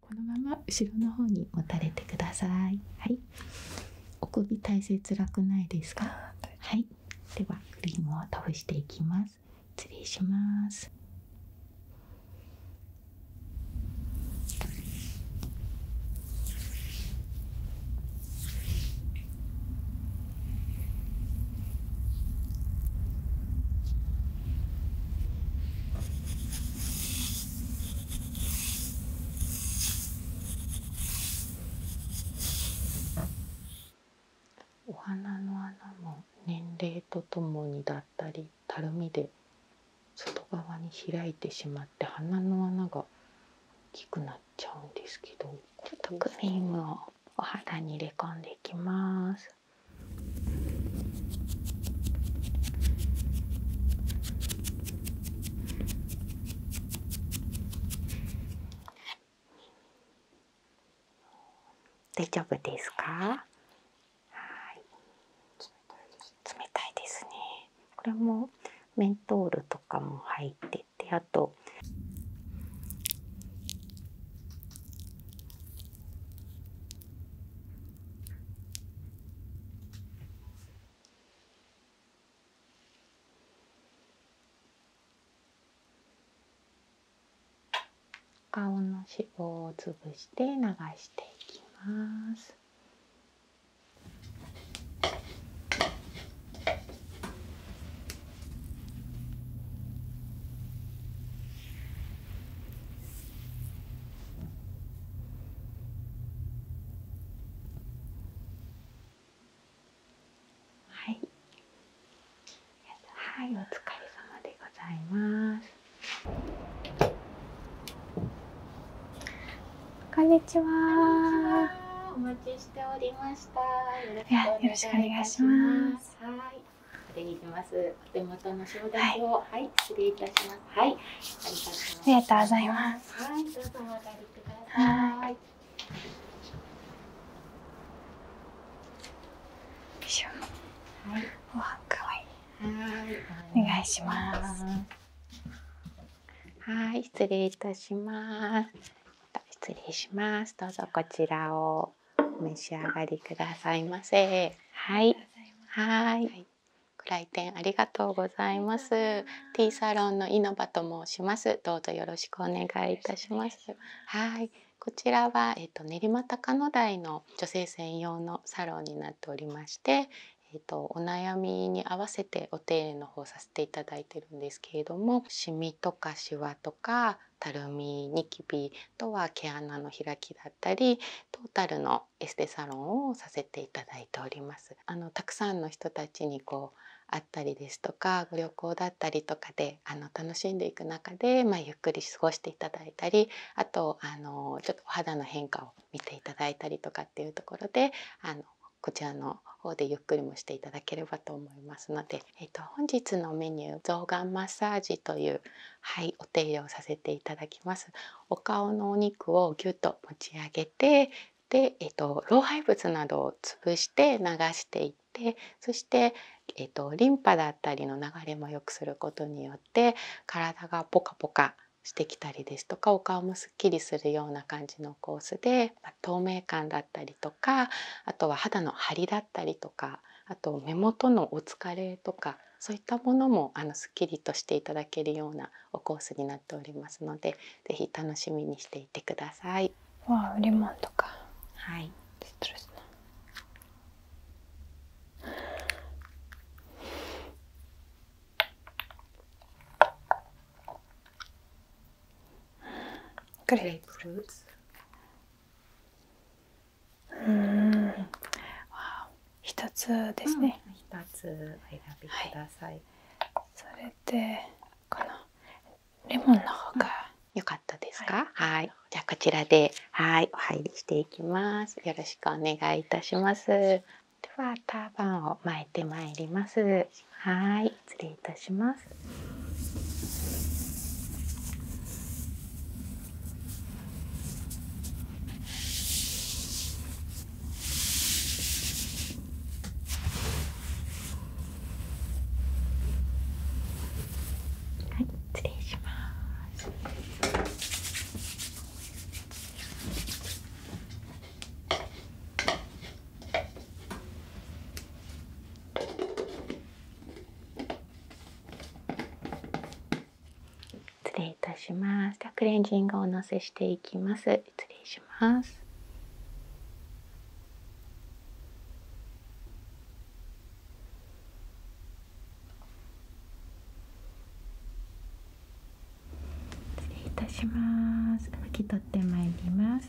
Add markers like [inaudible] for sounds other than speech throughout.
このまま後ろの方に持たれてくださいはいお首体勢辛くないですかはいではクリームを倒していきます失礼しますお花の穴も年齢とともにだったりたるみで外側に開いてしまって鼻の穴が大きくなっちゃうんですけどちょっとクリームをお肌に入れ込んでいきます。大丈夫ですか冷たいですねこれもメントールとかも入っててあと顔の脂肪を潰して流していきます。はい、はい、お疲れ様でございます。こんにちは。お待ちしておりました。よろしくお願いします。はい、失礼します。お手元の承諾を、はい、失礼いたします。はい、ありがとうございます。はい、どうぞお上りください。はい。お願いします。はい、失礼いたします。失礼します。どうぞこちらを召し上がりくださいませ。はい。はい。ご来店ありがとうございます。ティーサロンの稲葉と申します。どうぞよろしくお願いいたします。はい、こちらはえっ、と練馬高野台の女性専用のサロンになっておりまして、えーと、お悩みに合わせてお手入れの方させていただいてるんですけれどもシミとかシワとかたるみニキビとは毛穴の開きだったりトータルのエステサロンをさせていただいております。あのたくさんの人たちにこうあったりですとかご旅行だったりとかであの楽しんでいく中で、まあ、ゆっくり過ごしていただいたりあとあのちょっとお肌の変化を見ていただいたりとかっていうところであのこちらの方でゆっくりもしていただければと思いますので、えー、と本日のメニュー「臓眼マッサージ」という、はい、お手入れをさせていただきます。お顔のお肉をぎゅっと持ち上げてで、えっと、老廃物などを潰して流していってそして、えっと、リンパだったりの流れもよくすることによって体がポカポカしてきたりですとかお顔もすっきりするような感じのコースで透明感だったりとかあとは肌の張りだったりとかあと目元のお疲れとかそういったものもあのすっきりとしていただけるようなおコースになっておりますのでぜひ楽しみにしていてください。はいうん一つですね一、うん、選びください、それでこのレモンの方が、うかったですかはい、じゃあこちらではいお入りしていきますよろしくお願いいたしますではターバンを巻いてまいりますはい失礼いたしますはい、失礼します。失礼いたします。ではクレンジングお乗せしていきます。失礼します。失礼いたします。拭き取ってまいります。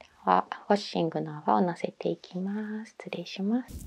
ではウォッシングの泡をのせていきます失礼します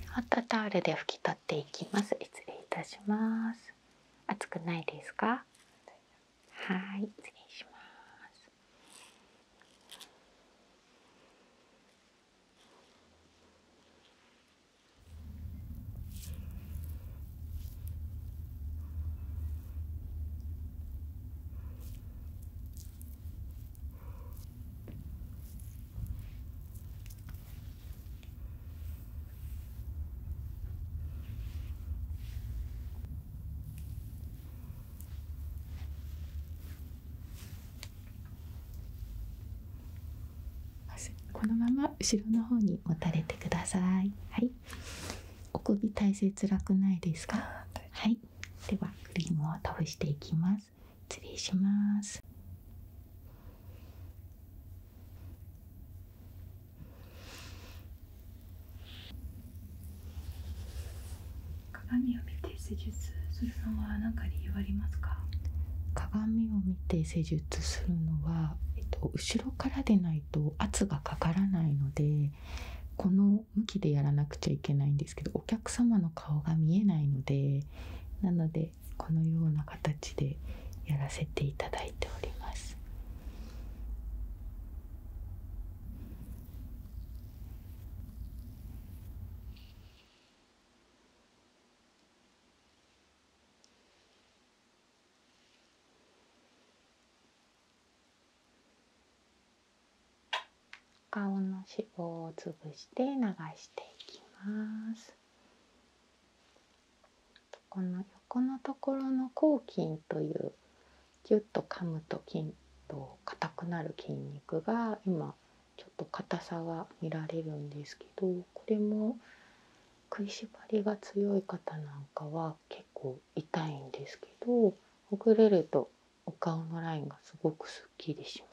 ホットタオルで拭き取っていきます。失礼いたします。熱くないですか？はい、失礼します。このまま後ろの方に持たれてください。お首体勢辛くないですか。はい。ではクリームを倒していきます。失礼します鏡を見て施術するのは鏡を見て施術するのは、えっと、後ろからでないと圧がかからないのでこの向きでやらなくちゃいけないんですけどお客様の顔が見えないのでなのでこのような形でやらせていただいております。顔の脂肪を潰して流していきますこの横のところの抗菌というギュッと噛むと筋と硬くなる筋肉が今ちょっと硬さが見られるんですけどこれも食いしばりが強い方なんかは結構痛いんですけどほぐれるとお顔のラインがすごくすっきりします。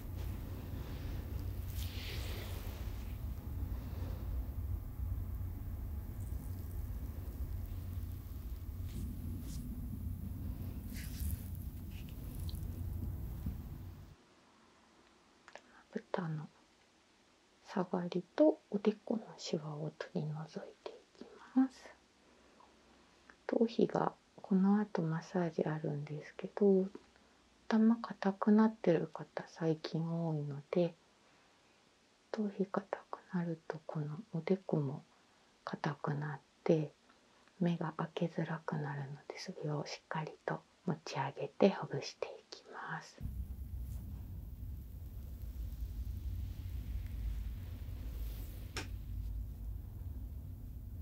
豚の下がりとおでこのシワを取り除いていきます頭皮がこのあとマッサージあるんですけど頭硬くなってる方最近多いので頭皮硬くなるとこのおでこも硬くなって目が開けづらくなるのでそれをしっかりと持ち上げてほぐしていきます。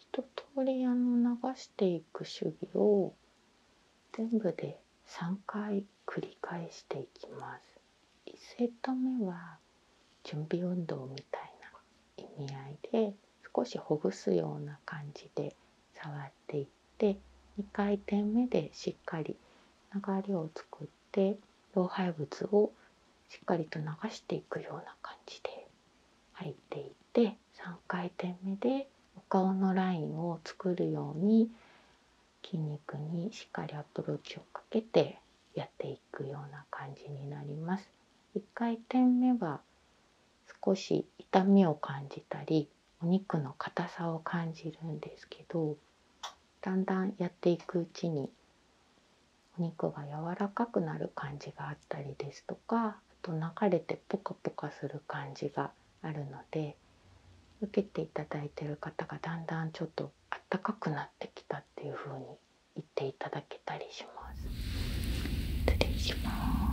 一通りあの流していく手技を全部で3回繰り返していきます1セット目は準備運動みたいな意味合いで少しほぐすような感じで触っていって2回転目でしっかり流れを作って老廃物をしっかりと流していくような感じで入っていって3回転目でお顔のラインを作るように筋肉にしっかりアプローチをかけてやっていくような感じになります。1回転目は少し痛みを感じたりお肉の硬さを感じるんですけどだんだんやっていくうちにお肉が柔らかくなる感じがあったりですとかあと流れてポカポカする感じがあるので受けていただいてる方がだんだんちょっとあったかくなってきたっていうふうに言っていただけたりします。失礼します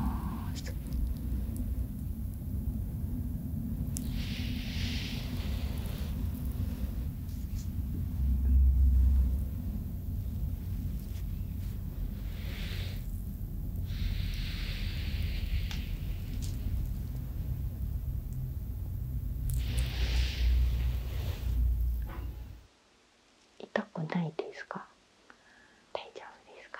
痛くないですか大丈夫ですか、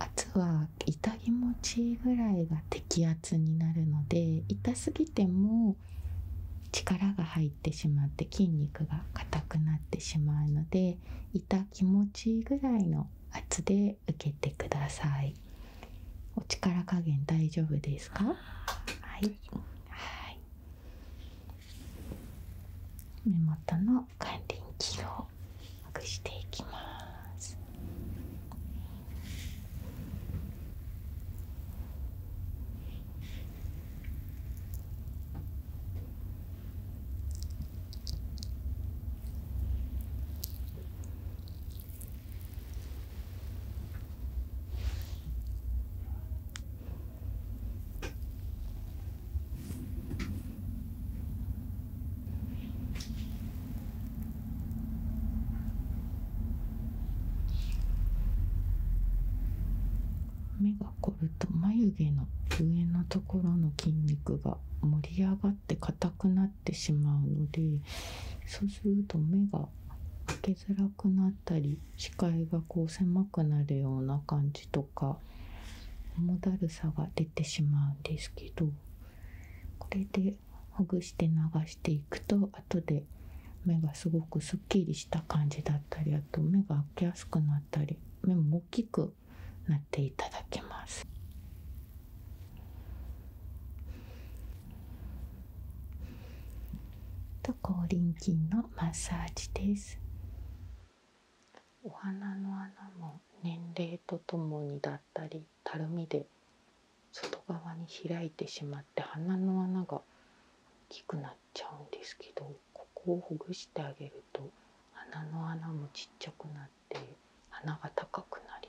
圧は痛気持ちいいぐらいが適圧になるので痛すぎても力が入ってしまって筋肉が硬くなってしまうので痛気持ちいいぐらいの圧で受けてくださいお力加減大丈夫ですかはい目元の眼輪筋をほぐしていきます。目が凝ると眉毛の上のところの筋肉が盛り上がって硬くなってしまうのでそうすると目が開ける。づくなったり視界がこう狭くなるような感じとかもだるさが出てしまうんですけどこれでほぐして流していくと後で目がすごくすっきりした感じだったりあと目が開けやすくなったり目も大きくなっていただけます。と後輪筋のマッサージですお花の穴も年齢とともにだったりたるみで外側に開いてしまって鼻の穴が大きくなっちゃうんですけどここをほぐしてあげると鼻の穴もちっちゃくなって鼻が高くなります。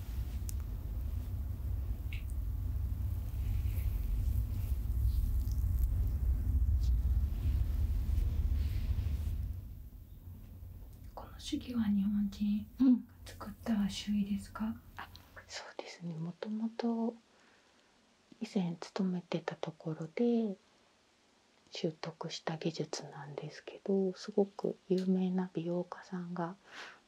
この手記は日本人作った手記ですか、そうですねもともと以前勤めてたところで習得した技術なんですけどすごく有名な美容家さんが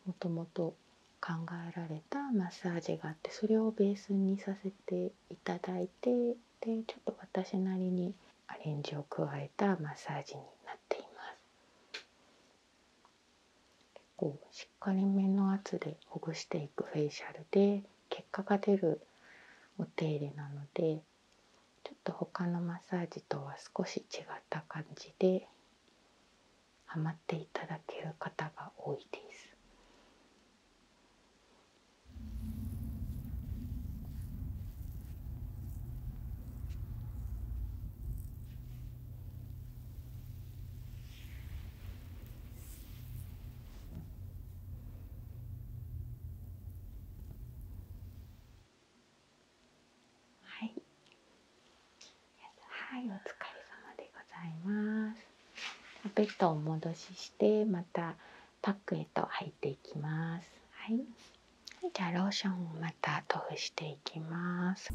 もともと考えられたマッサージがあってそれをベースにさせていただいてでちょっと私なりにアレンジを加えたマッサージになっています結構しっかりめの圧でほぐしていくフェイシャルで結果が出るお手入れなのでちょっと他のマッサージとは少し違った感じでハマっていただける方が多いです。はい、はい、お疲れ様でございますベッドを戻ししてまたパックへと入っていきますはい、じゃあローションをまた塗布していきます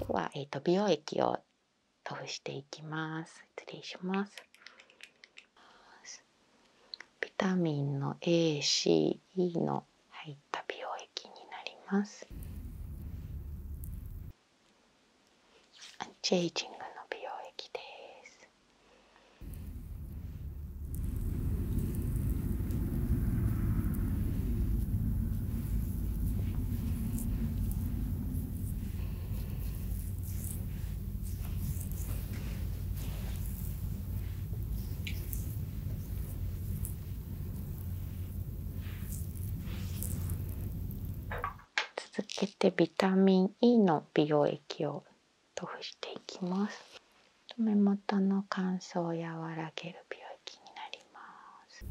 今は、えーと、美容液を塗布していきます失礼しますビタミンの ACE の入った美容液になりますアンチエイジングの美容液です続けてビタミン E の美容液を塗布していきます目元の乾燥を和らげる病気になります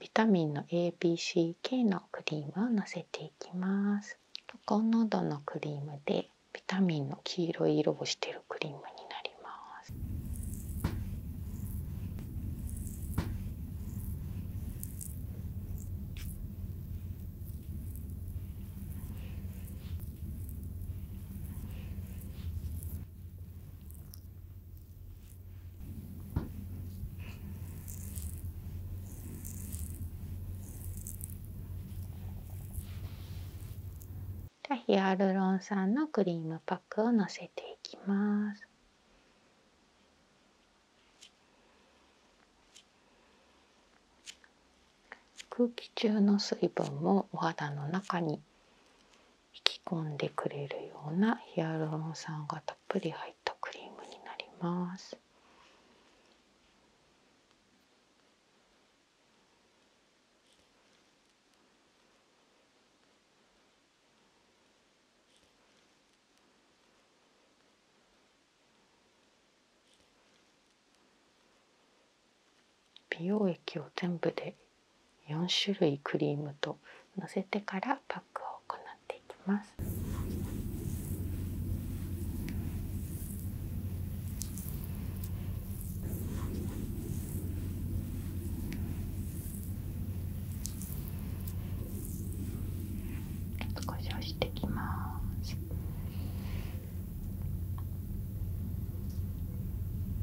ビタミンの ABCK のクリームをのせていきます濃度のクリームでビタミンの黄色い色をしているクリームになりますじゃヒアルロン酸のクリームパックをのせていきます。空気中の水分もお肌の中に引き込んでくれるようなヒアルロン酸がたっぷり入ったクリームになります。美容液を全部で4種類クリームとのせてからパックを行っていきます。してきます。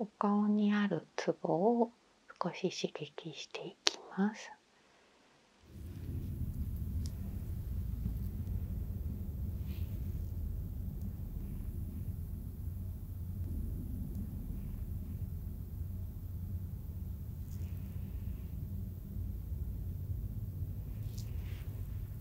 お顔にあるツボを少し刺激していきます。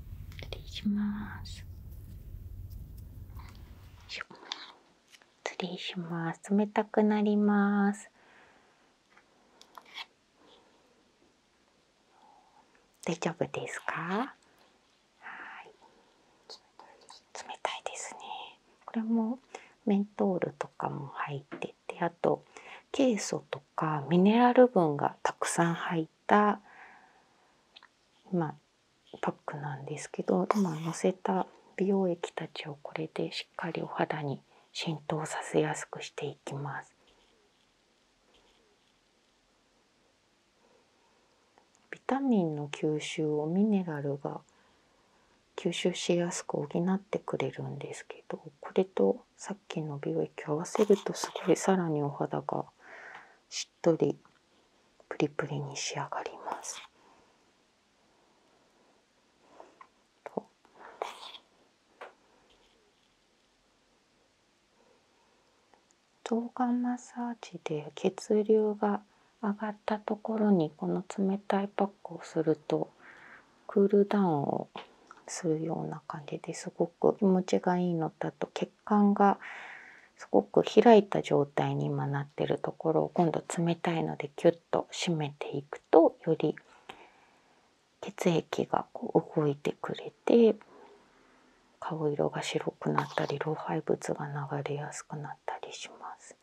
失礼します失礼します冷たくなります大丈夫ですか冷たいですねこれもメントールとかも入っててあとケイ素とかミネラル分がたくさん入って。たあ。パックなんですけど今のせた美容液たちをこれでしっかりお肌に浸透させやすくしていきますビタミンの吸収をミネラルが吸収しやすく補ってくれるんですけどこれとさっきの美容液合わせるとすごいさらにお肌がしっとりプリプリに仕上がります。と臓眼マッサージで血流が上がったところにこの冷たいパックをするとクールダウンをするような感じですごく気持ちがいいのだと血管がすごく開いた状態に今なってるところを今度冷たいのでキュッと締めていくとより血液がこう動いてくれて顔色が白くなったり老廃物が流れやすくなったりします。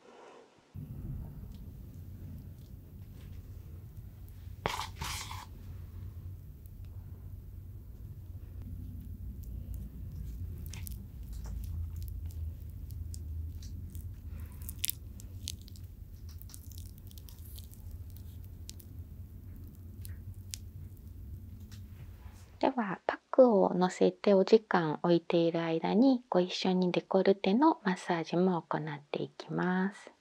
ではパックを乗せてお時間置いている間にご一緒にデコルテのマッサージも行っていきます。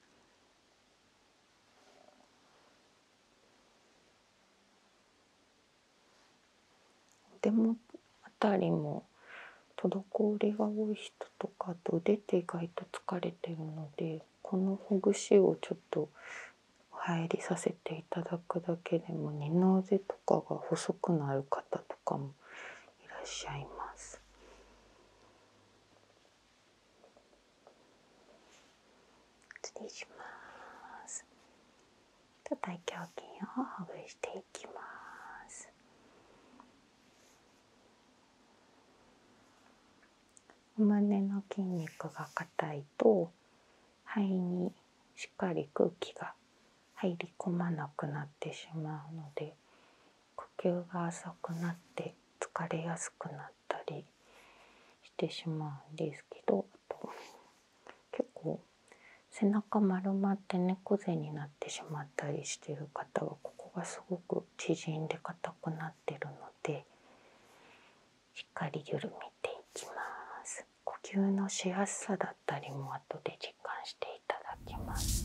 でも辺りも滞りが多い人とかと腕って意外と疲れてるのでこのほぐしをちょっと入りさせていただくだけでも二の腕とかが細くなる方とかもいらっしゃいます。胸の筋肉が硬いと肺にしっかり空気が入り込まなくなってしまうので呼吸が浅くなって疲れやすくなたりしてしまうんですけどあと結構背中丸まって猫背になってしまったりしてる方はここがすごく縮んで硬くなってるのでしっかり緩めていきます。呼吸のしやすさだったりも後で実感していただきます。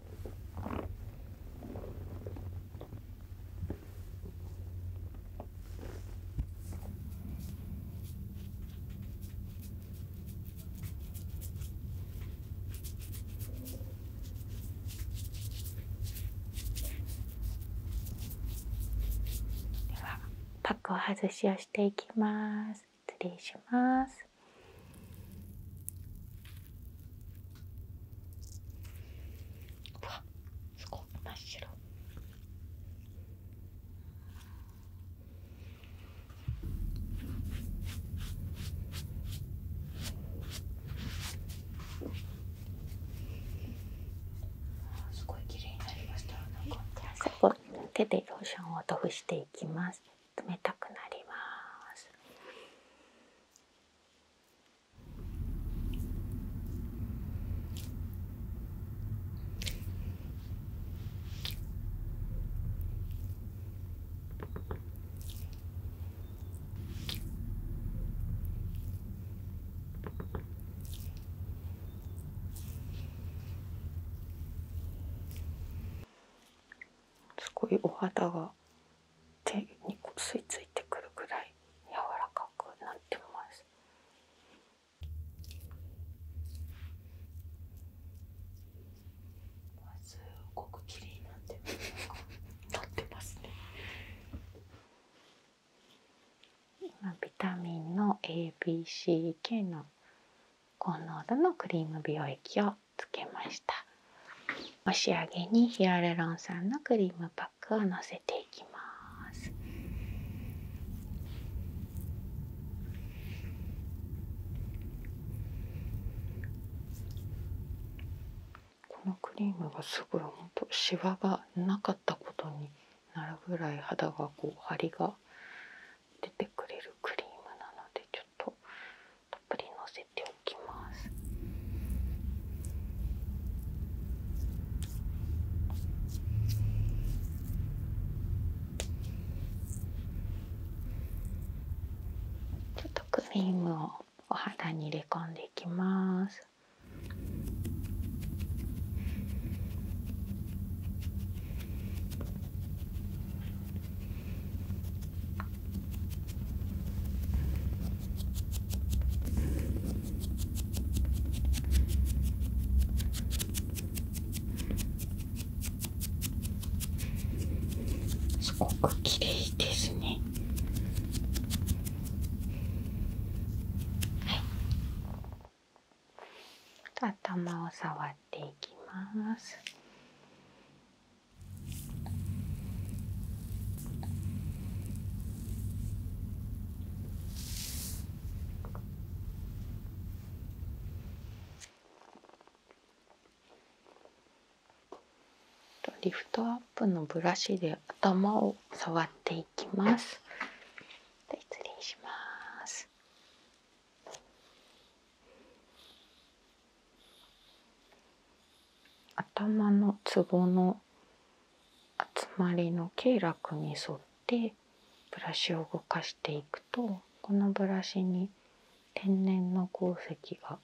ではパックを外しをしていきます。失礼します。うわすごい真っ白すごい綺麗になりましたなんかじゃあ最後手でローションを塗布していきます冷たくなりますすごいお肌が手に吸いいてくるぐらい柔らかくなってます。すごく綺麗になってま今ビタミンの A、B、C、K の高濃度のクリーム美容液ををつけましたお仕上げにヒアルロン酸のクリームパックをのせていきますこのクリームがすごいんとしわがなかったことになるぐらい肌がこう張りが出てくれるクリームなのでちょっとたっぷりのせておきます。ちょっとクリームをお肌に入れ込んでいきます。すごくきれいですね。頭を触っていきます。リフトアップのブラシで頭を触っていきます。失礼します。頭のツボの集まりの経絡に沿ってブラシを動かしていくとこのブラシに天然の鉱石が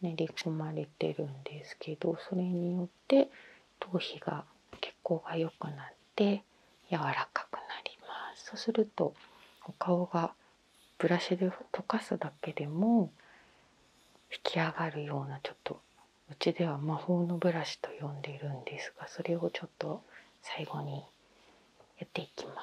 練り込まれてるんですけどそれによって頭皮が血行が良くなって柔らかくなりますそうするとお顔がブラシで溶かすだけでも引き上がるようなちょっとうちでは魔法のブラシと呼んでいるんですがそれをちょっと最後にやっていきます。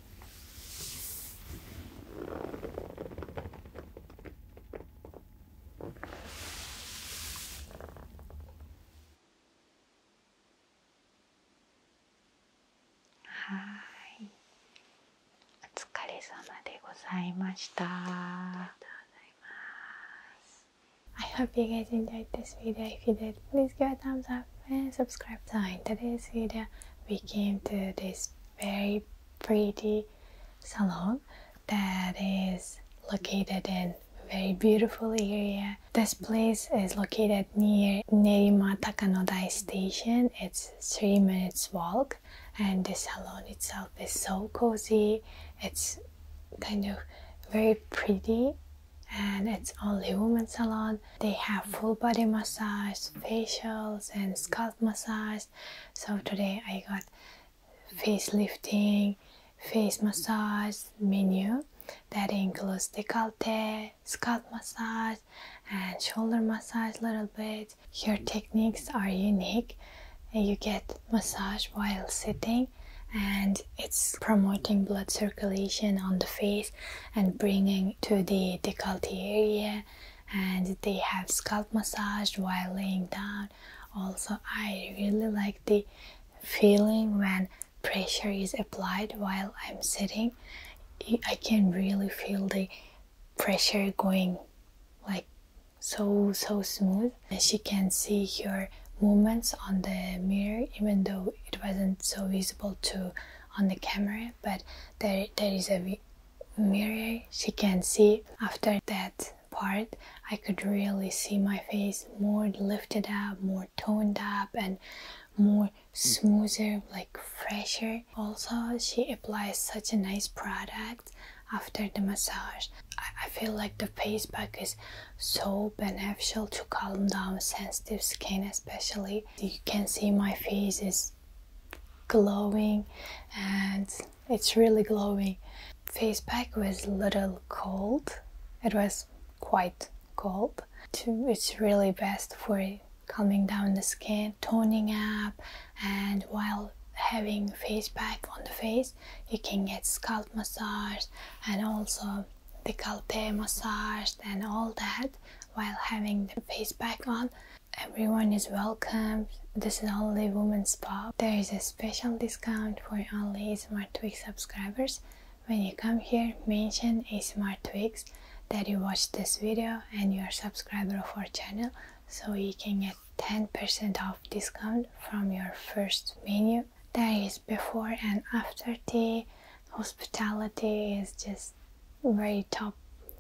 はいお疲れ様でございましたありがとうございます I hope you guys enjoyed this video. If you did, please give a thumbs up. and subscribe down. In today's video, we came to this very pretty salon that is located in a very beautiful area. This place is located near Nerimata Kanodai station. It's three minutes walk and the salon itself is so cozy. It's kind of very pretty and it's only women salon they have full body massage, facials, and scalp massage. So today I got face lifting, face massage menu that includes decollete, scalp massage, and shoulder massage a little bit. Your techniques are unique. You get massage while sitting and it's promoting blood circulation on the face and bringing to the decollete area and they have scalp massage while laying down also i really like the feeling when pressure is applied while i'm sitting i can really feel the pressure going like so so smooth and she can see your movements on the mirror even though it wasn't so visible to on the camera but there, there is a mirror she can see after that part i could really see my face more lifted up more toned up and more smoother like fresher also she applies such a nice product after the massage I, I feel like the face pack is so beneficial to calm down sensitive skin especially you can see my face is glowing and it's really glowing. Face pack was a little cold. It was quite cold. It's really best for calming down the skin, toning up and while having face pack on the face you can get scalp massage and also the decollete massage and all that while having the face back on. Everyone is welcome. This is only women's pub. There is a special discount for only Smart Twix subscribers. When you come here, mention Smart Twix that you watched this video and you are subscriber for channel so you can get 10% off discount from your first menu. There is before and after tea, hospitality is just very top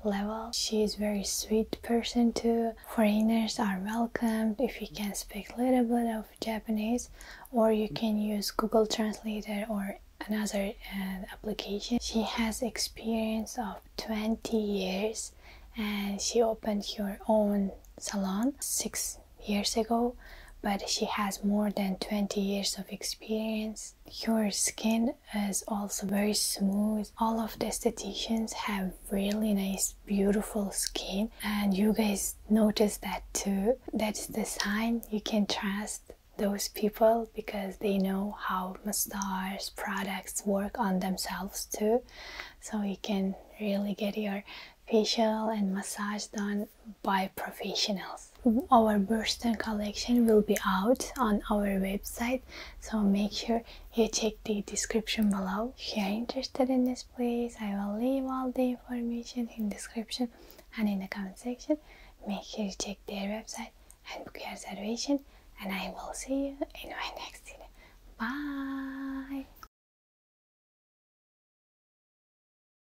level. She is very sweet person too. Foreigners are welcomed if you can speak a little bit of Japanese or you can use Google Translator or another uh, application. She has experience of 20 years and she opened her own salon 6 years ago but she has more than 20 years of experience. Your skin is also very smooth. All of the estheticians have really nice, beautiful skin, and you guys notice that too. That's the sign you can trust those people because they know how massage products work on themselves too. So you can really get your facial and massage done by professionals our birthstone collection will be out on our website so make sure you check the description below if you are interested in this please i will leave all the information in description and in the comment section make sure you check their website and book your reservation and i will see you in my [laughs] next video bye